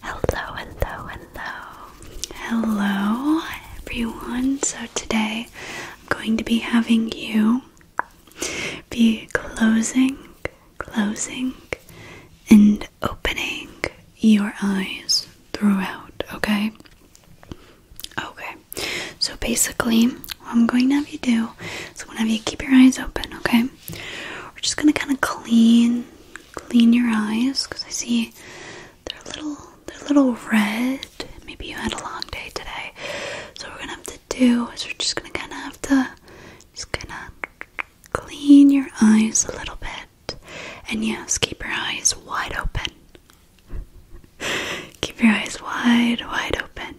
Hello, hello, hello. Hello, everyone. So, today I'm going to be having you be closing, closing, and opening your eyes throughout, okay? Okay. So, basically, what I'm going to have you do is I'm going to have you keep your eyes open, okay? We're just going to kind of clean clean your eyes because I see they're a little they're a little red. Maybe you had a long day today. So what we're gonna have to do is we're just gonna kinda have to just kinda clean your eyes a little bit. And yes, keep your eyes wide open. keep your eyes wide, wide open.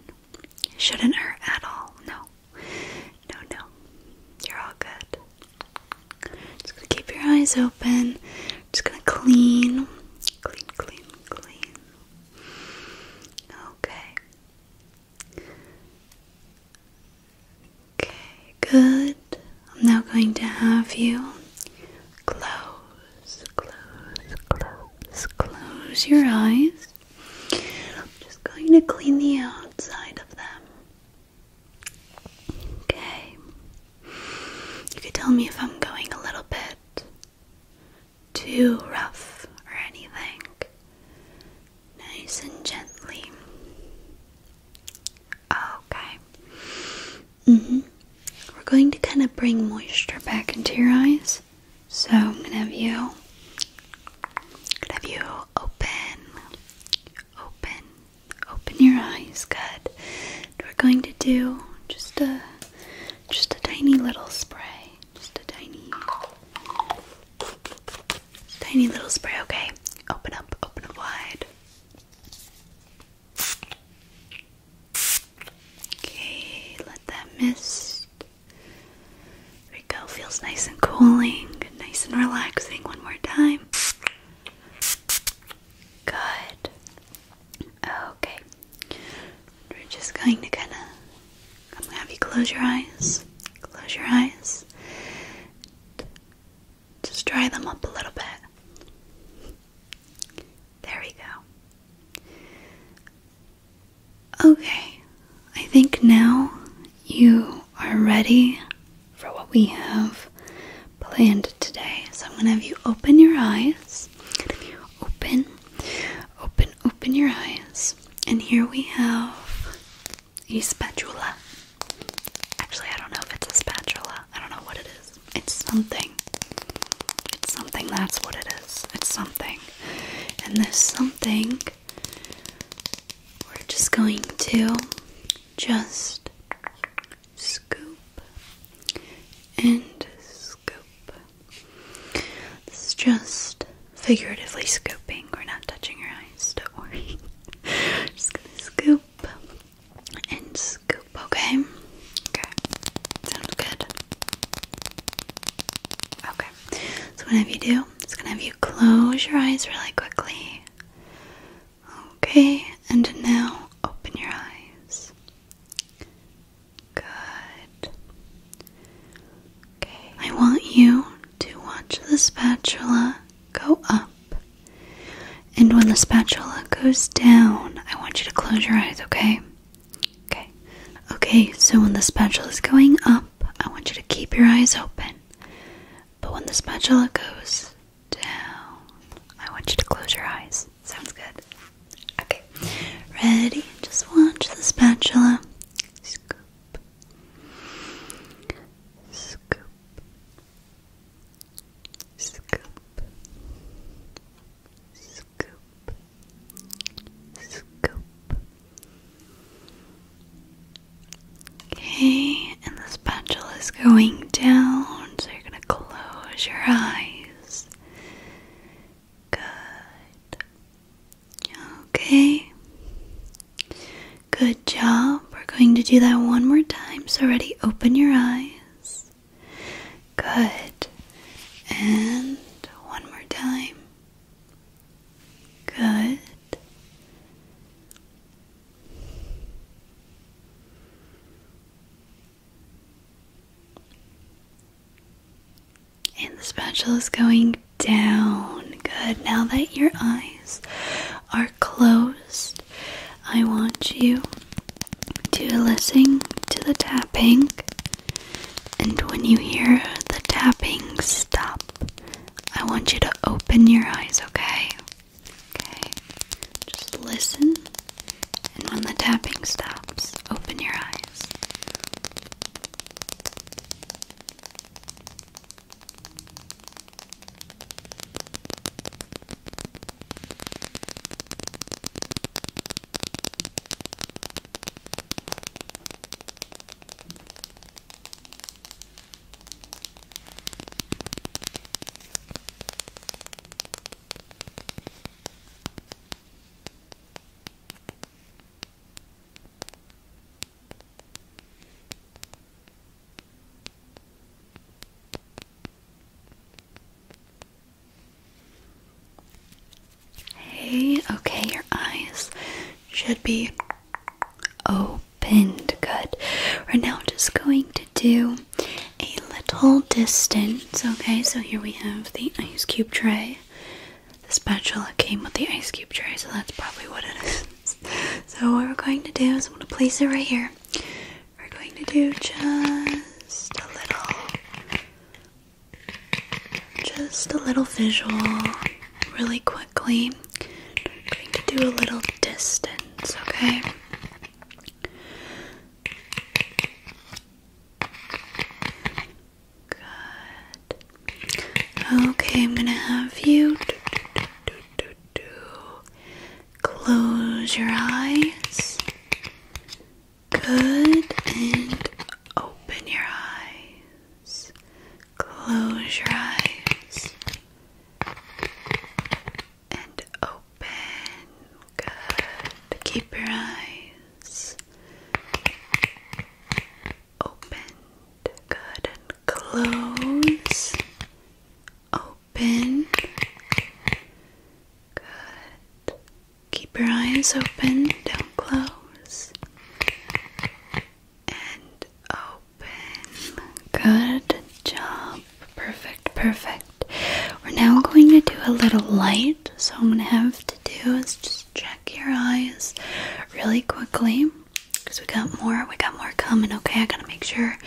shouldn't hurt at all, no. No, no. You're all good. Just gonna keep your eyes open. Just gonna clean. Clean, clean, clean. Okay. Okay, good. I'm now going to have you close, close, close, close your eyes. just going to clean the outside of them. Okay. You could tell me if I'm going a little bit too rough or anything. Nice and gently. Okay. Mm-hmm. We're going to kind of bring moisture back into your eyes. So I'm going to have you Good. Have you open, open, open your eyes. Good. we're going to do just a, just a tiny little spray. Just a tiny, tiny little spray. Okay. Open up. Open up wide. Okay, let that mist there we go. Feels nice and cooling, nice and relaxing. One more time. Good. Okay. We're just going to kind of. I'm gonna have you close your eyes. Close your eyes. Just dry them up a little bit. There we go. Okay. I think now you are ready for what we have planned today. So I'm going to have you open your eyes. open, open, open your eyes. And here we have a spatula. Actually, I don't know if it's a spatula. I don't know what it is. It's something. It's something. That's what it is. It's something. And this something we're just going to just scoop and scoop. It's just figuratively scooping. We're not touching your eyes, don't worry. just gonna scoop and scoop, okay? Okay. Sounds good. Okay. So whenever you do, it's gonna have you close your eyes really quickly. Okay, and now open your eyes. Good. Okay. I want you to watch the spatula go up. And when the spatula goes down, I want you to close your eyes, okay? Okay. Okay, so when the spatula is going up, I want you to keep your eyes open. But when the spatula goes down, I want you to close your eyes. Sounds good. Okay. Ready? Just watch the spatula. Scoop. Scoop. Scoop. Scoop. Scoop. Okay, and the spatula is going down, so you're going to close your eyes. Good. Okay. Good job. We're going to do that one more time. So, ready, open your eyes. Good. And one more time. Good. And the spatula is going down. Good. Now that your eyes are closed, I want you to listen to the tapping. And when you hear the tapping stop, I want you to open your eyes, okay? Okay. Just listen, and when the tapping stops, open your eyes. Hey, okay, your eyes should be opened. Good. We're now just going to do a little distance. Okay, so here we have the ice cube tray. The spatula came with the ice cube tray, so that's probably what it is. so, what we're going to do is I'm going to place it right here. We're going to do just a little, just a little visual really quickly. I'm going to do a little distance, okay? Good. Okay, I'm going to have you close your eyes. Good. And open your eyes. Close your eyes. And open. Good. Keep your eyes opened. Good. close. Open. Good. Keep your eyes open. Don't close and open. Good job. Perfect, perfect. We're now going to do a little light. So, I'm going to have to do is just check your eyes really quickly because we got more. We got more coming, okay? I got to make sure.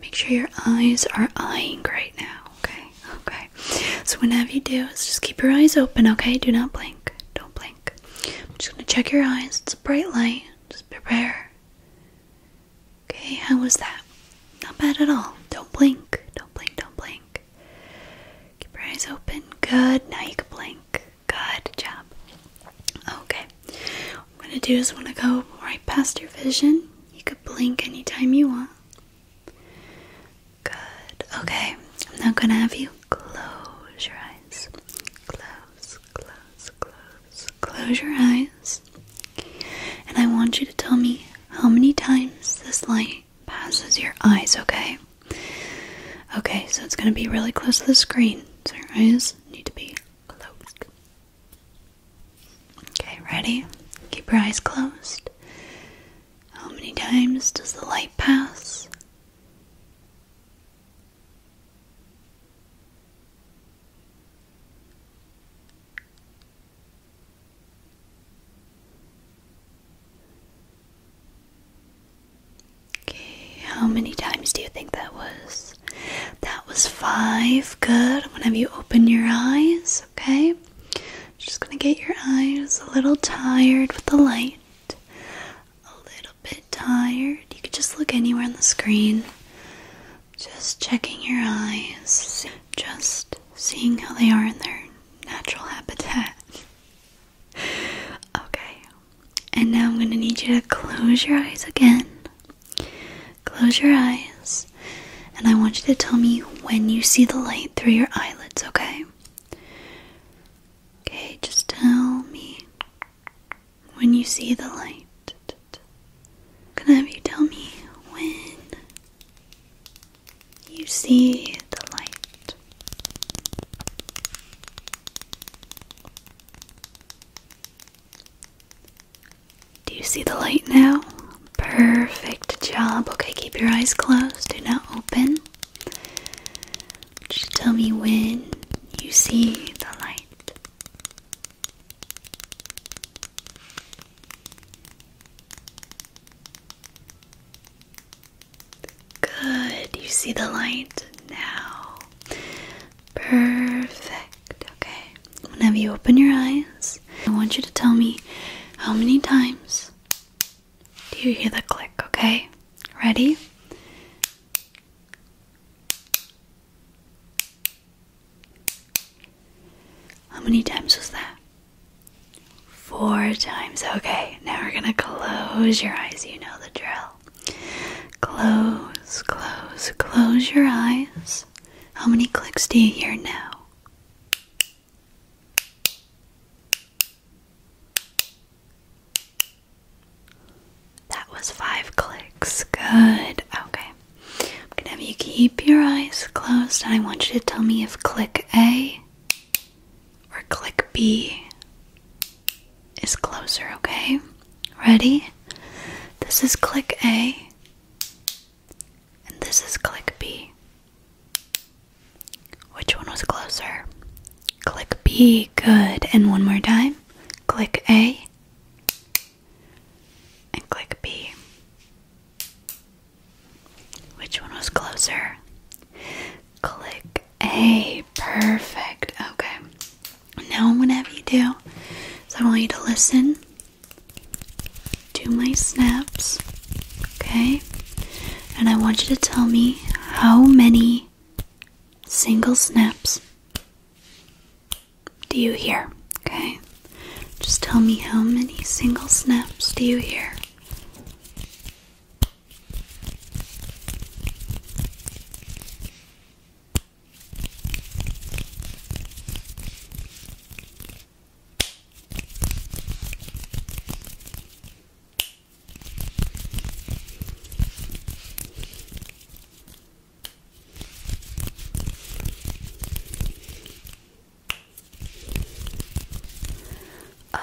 Make sure your eyes are eyeing right now, okay? Okay. So, whenever you do is just keep your eyes open, okay? Do not blink. Don't blink. I'm just gonna check your eyes. It's a bright light. Just prepare. Okay, how was that? Not bad at all. Don't blink. Don't blink. Don't blink. Keep your eyes open. Good. Now you can blink. Good job. Okay. What I'm gonna do is wanna go right past your vision. You could blink anytime you want. Good. Okay. I'm not gonna have you close your eyes. Close, close, close. Close your eyes. And I want you to tell me how many times this light passes your eyes, okay? Okay, so it's going to be really close to the screen. So your eyes need to be close. Okay, ready? Keep your eyes closed. How many times does the light pass? Okay, how many times do you think that was? That was five. Good. i have you open your eyes, okay? Just gonna get your eyes a little tired with the light a little bit tired, you could just look anywhere on the screen. Just checking your eyes, just seeing how they are in their natural habitat. Okay, and now I'm going to need you to close your eyes again. Close your eyes, and I want you to tell me when you see the light through your eyelids, okay? Okay, just tell me when you see the light. Can I have you tell me when you see the light? Do you see the light now? Perfect job. Okay, keep your eyes closed. Do not open. Just tell me when you see the light. Good, you see the light now. Perfect. Okay, whenever you open your eyes, I want you to tell me how many times do you hear the click? Okay, ready? How many times was that? Four times. Okay, now we're gonna close your eyes. You know the drill. Close, close, close your eyes. How many clicks do you hear now? That was five clicks. Good. Okay. I'm gonna have you keep your eyes closed, and I want you to tell me if click A or click B is closer, okay? Ready? This is click A, and this is click B. Which one was closer? Click B, good. And one more time. Click A and click B. Which one was closer? Click A, perfect. Okay. Now I'm gonna have you do I want you to listen to my snaps, okay? And I want you to tell me how many single snaps do you hear? Okay, just tell me how many single snaps do you hear?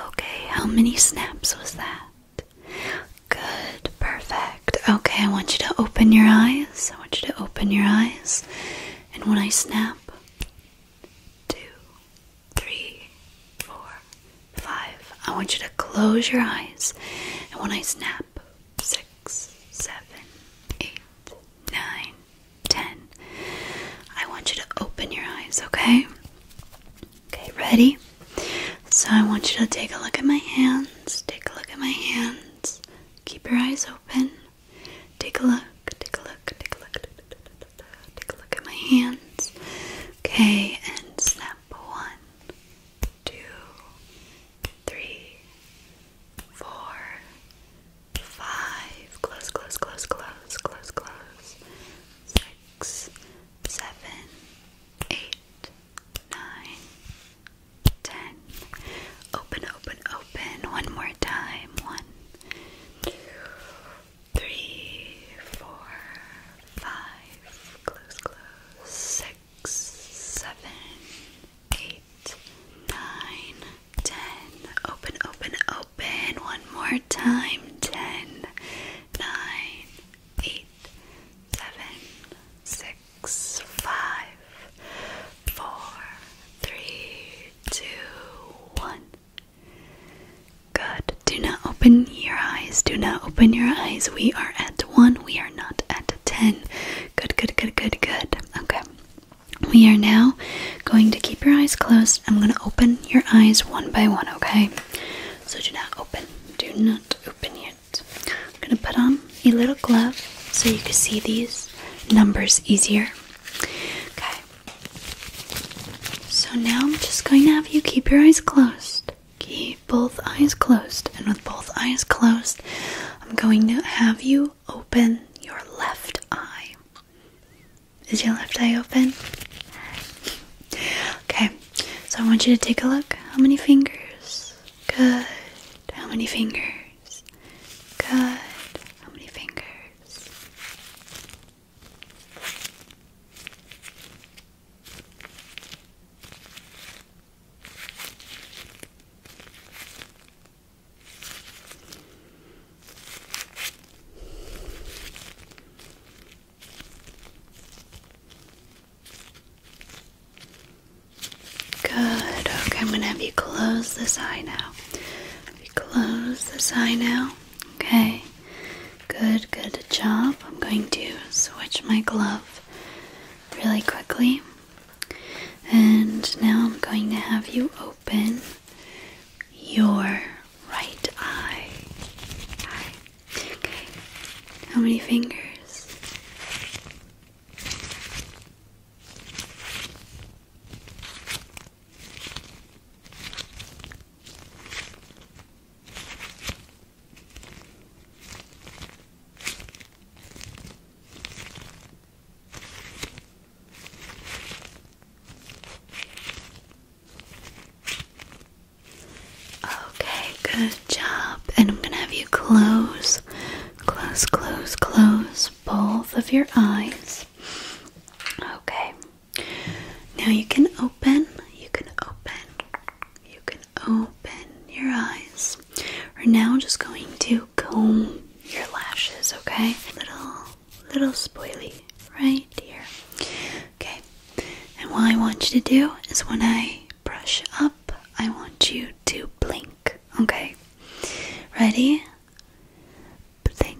Okay, how many snaps was that? Good, perfect. Okay, I want you to open your eyes. I want you to open your eyes. And when I snap, two, three, four, five. I want you to close your eyes, and when I snap, six, seven, eight, nine, ten, I want you to open your eyes, okay? Okay, ready? So I want you to take a look at my hands. Take a look at my hands. Keep your eyes open. Take a look. Take a look. Take a look. Take a look at my hands. Okay, and snap one, two, three, four, five. Close, close, close, close, close, close. Six, seven, eight, nine, ten. Open, open, open. One more time. One, two, three, four, five, close, close, six, seven, eight, nine, ten. Open, open, open. One more time. Ten, nine, eight, seven, six, five, four, three, two, one. Good. Do not open your eyes. Do not open your eyes. We are at one. We are not at ten. Good, good, good, good, good. Okay. We are now going to keep your eyes closed. I'm going to open your eyes one by one, okay? So do not open. Do not open yet. I'm going to put on a little glove so you can see these numbers easier. Okay. So now I'm just going to have you keep your eyes closed. Keep both eyes closed. And with both eyes closed, I'm going to have you open your left eye. Is your left eye open? Okay, so I want you to take a look. How many fingers? Good. How many fingers? Good. How many fingers? Good. Okay, I'm going to have you close this eye now. We close this eye now. Okay, good, good job. I'm going to switch my glove really quickly. And now I'm going to have you open your right eye. Okay, how many fingers? Okay, good job. And I'm going to have you close, close, close, close both of your eyes. Okay. Now you can open, you can open, you can open your eyes. We're now just going to comb your lashes, okay? Little, little spoily right here. Okay, and what I want you to do is when I brush up, I want you to blink, okay? Ready? Blink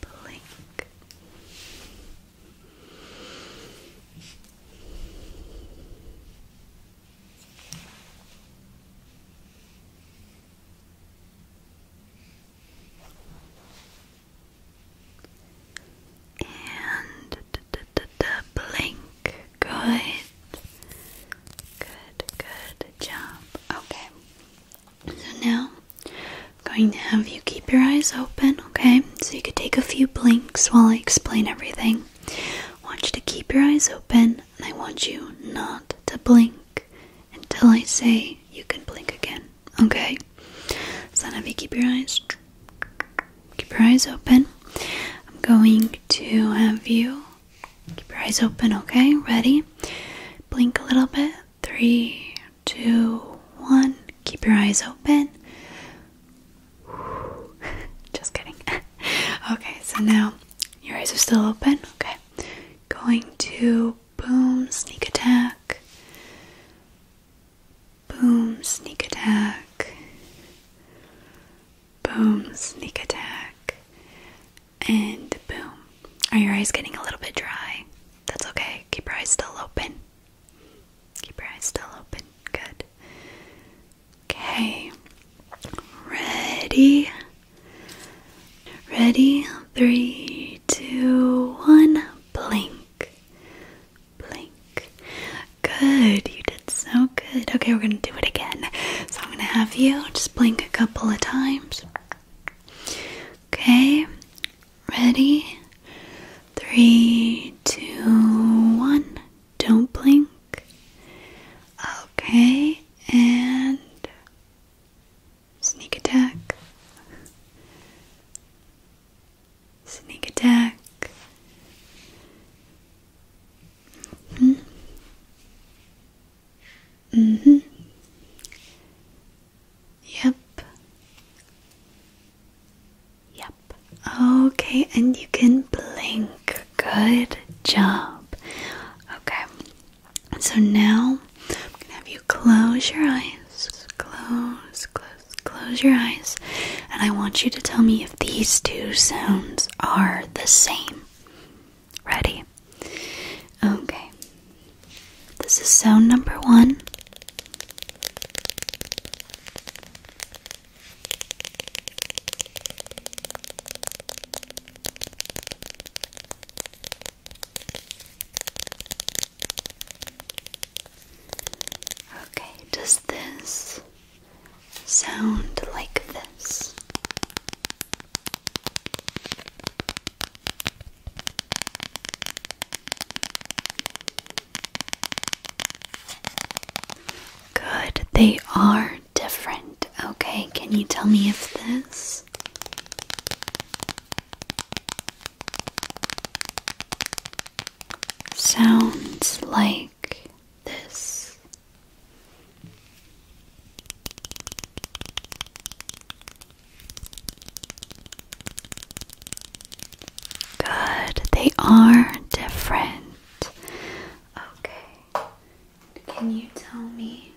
blink. And blink. Good. Good, good job. Okay. So now I'm going to have you keep your eyes open, okay? So you could take a few blinks while I explain everything. want you to keep your eyes open and I want you not to blink until I say you can blink again, okay? So now if you keep your eyes keep your eyes open. I'm going to have you keep your eyes open, okay? Ready? Blink a little bit. Three, two, one. Keep your eyes open. Just kidding. okay, so now your eyes are still open. Okay. Going to boom, sneak attack. Boom, sneak attack. Boom, sneak attack. And boom. Are your eyes getting a little bit dry? That's okay. Keep your eyes still open. Keep your eyes still open. Good. Okay. Ready? Ready? Three, two, one. Blink. Blink. Good. You did so good. Okay, we're going to do it again. So I'm going to have you just blink a couple of times. Okay, ready? Three, two, one. Don't blink. Okay, and sneak attack. Sneak attack. -hmm hmm. Yep. Yep. Okay, and you can blink. Good job. Okay. So now I'm gonna have you close your eyes. Close, close, close your eyes. And I want you to tell me if these two sounds are the same. Ready? Okay. This is sound number one. Okay, does this sound like this? Good, they are different. Okay, can you tell me if this? Sounds like this. Good, they are different. Okay, can you tell me?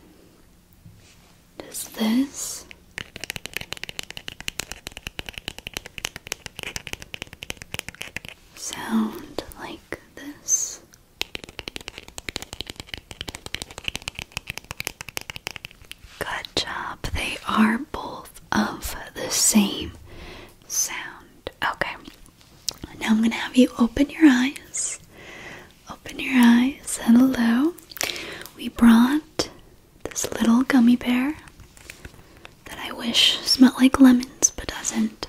Does this sound like this? Good job. They are both of the same sound. Okay. Now I'm going to have you open your eyes. Open your eyes. Hello. We brought this little gummy bear that I wish smelled like lemons but doesn't.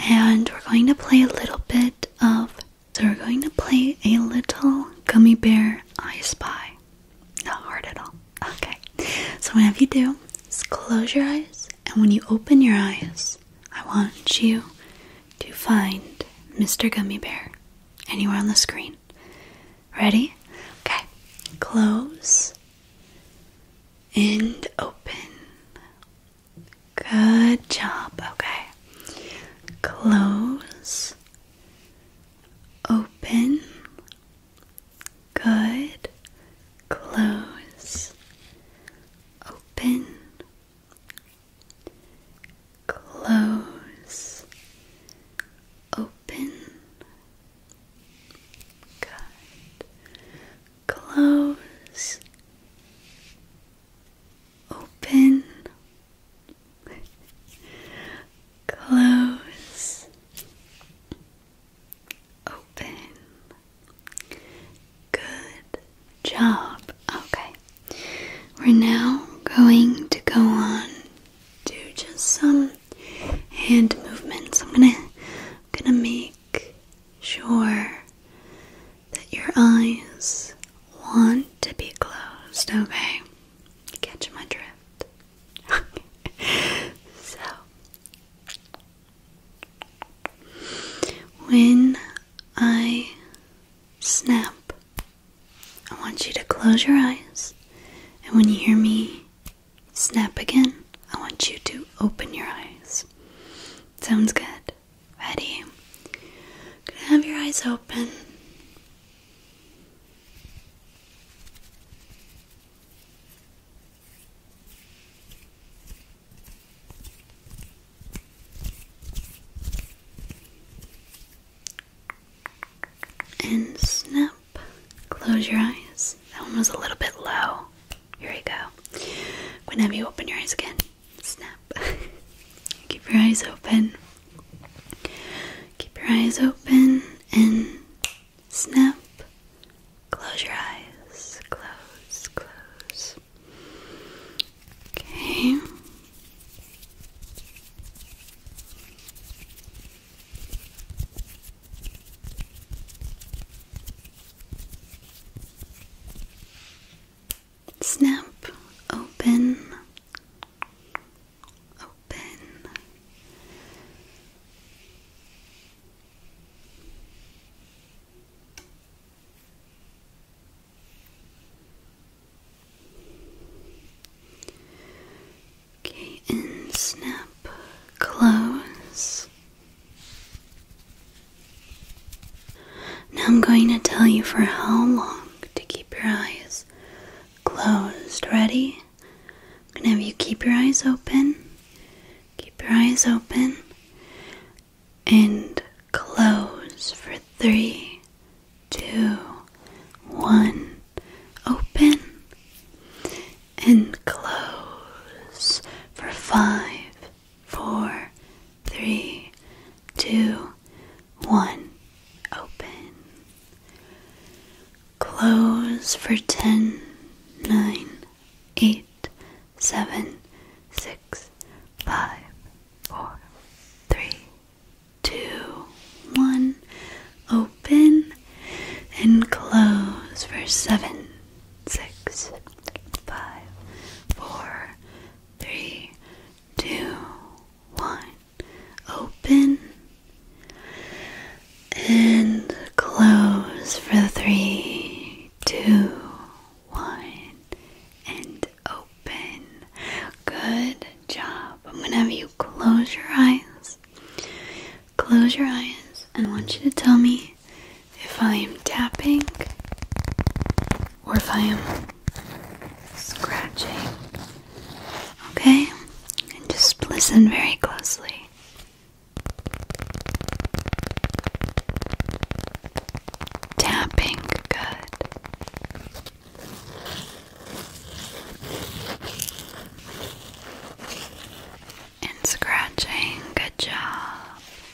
And we're going to play a little bit of so we're going to play a little gummy bear I spy. Not hard at all. Okay. So whenever you do, is close your eyes and when you open your eyes, I want you to find Mr. Gummy Bear anywhere on the screen. Ready? Okay. Close and open. Good job. Okay. Close. Open. Good. Close. Open. Close. Open. Good. Close open, close, open. Good job. Okay. We're now going to go on do just some hand movements. I'm gonna I'm gonna make sure that your eyes want to be closed, okay? Catch my drift. so, when I snap, I want you to close your eyes, and when you hear me snap again, I want you to open your eyes. Sounds good. Ready? Can have your eyes open. And snap. Close your eyes. That one was a little bit low. Here we go. Can have you open your eyes again snap. Keep your eyes open. Keep your eyes open and snap. Close your eyes. Close, close. Okay. Snap open, open. Okay, and snap close. Now I'm going to tell you for how long to keep your eyes closed. Ready? I'm going to have you keep your eyes open, keep your eyes open, and close for three, two, one. Open and close for five, four, three, two, one. Open. Close for ten, nine, eight, seven, six, five, four, three, two, one. Open and close for seven, six, five, four, three, two, one. Open and close for three, two, one, and open. Good job. I'm gonna have you close your eyes. Close your eyes, and I want you to tell me if I am tapping or if I am scratching. Okay? And just listen very closely. Tapping, good. And scratching, good job.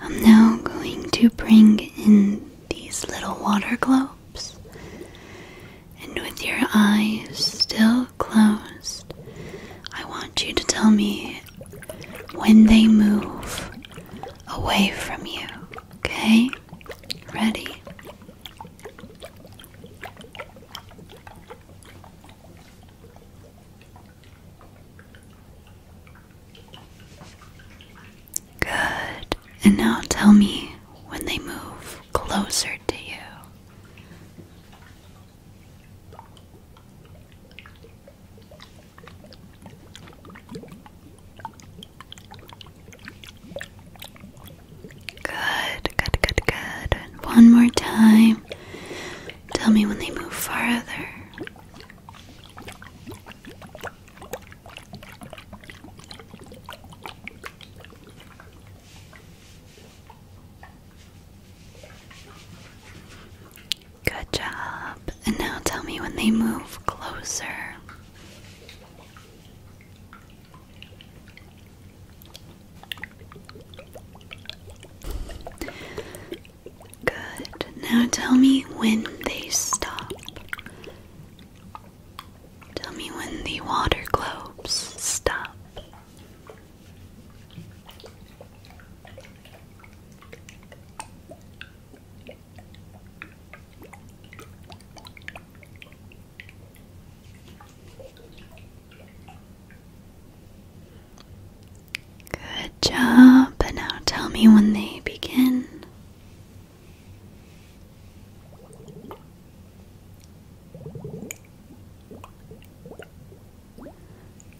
I'm now going to bring in these little water globes, and with your eyes still closed, I want you to tell me when they move away from you, okay? Ready? Good. And now tell me when they move closer to you. Good, good, good, good. one more time. Tell me when they move farther. Good job. And now tell me when they move closer. Good. Now tell me when they stop. Tell me when the water globes stop. Good job. And now tell me when they begin.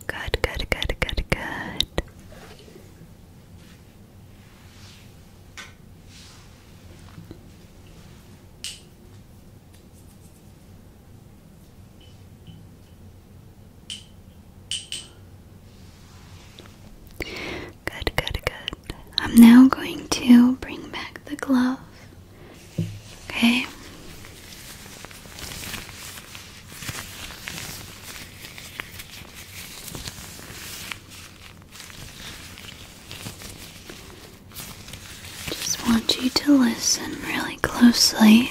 Good, good, good, good, good. Good, good, good. I'm now going to bring back the glove. Okay. Just want you to listen really closely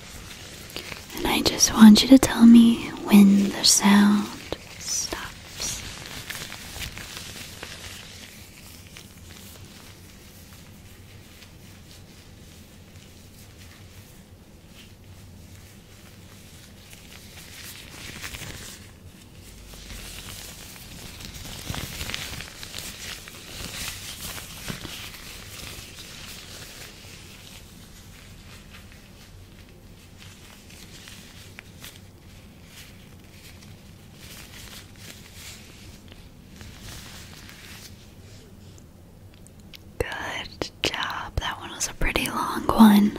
And I just want you to tell me when the sound stops. Good job. That one was a pretty long one.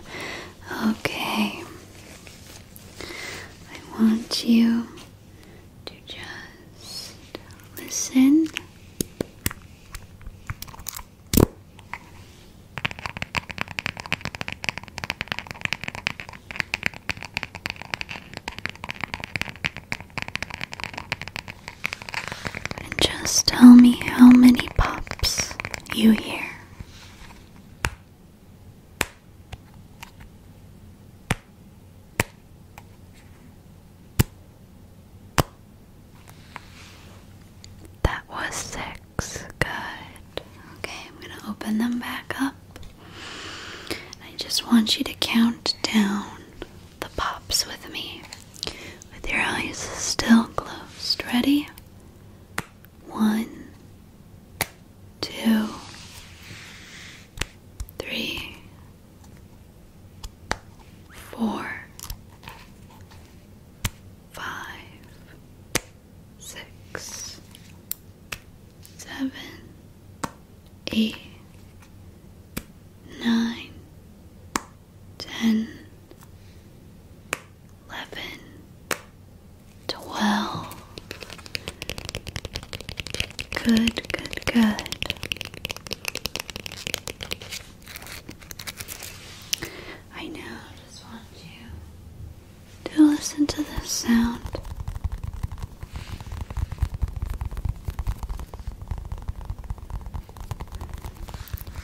Okay. I want you to just listen. And just tell me how many pops you hear. That was six. Good. Okay, I'm going to open them back up. I just want you to count down the pops with me with your eyes still closed. Ready? One, two, three, four, five, six, seven, eight, nine, ten, eleven, twelve, Good, good, good. I now just want you to listen to this sound.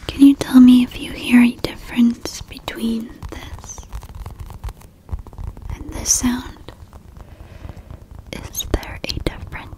Can you tell me if you hear a difference between this and this sound? Is there a difference?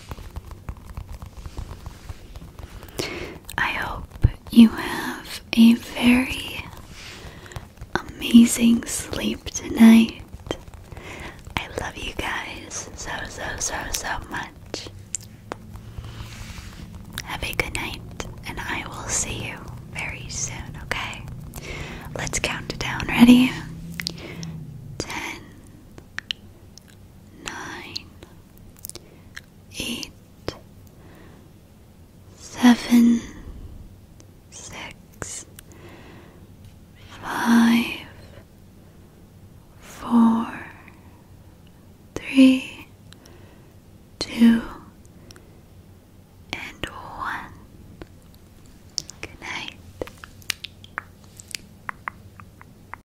I hope you have a very amazing sleep tonight. I love you guys so, so, so, so much. Have a good night, and I will see you very soon, okay? Let's count it down. Ready? Ten, nine, eight, seven, six, five, four, three, two, and one. Good night.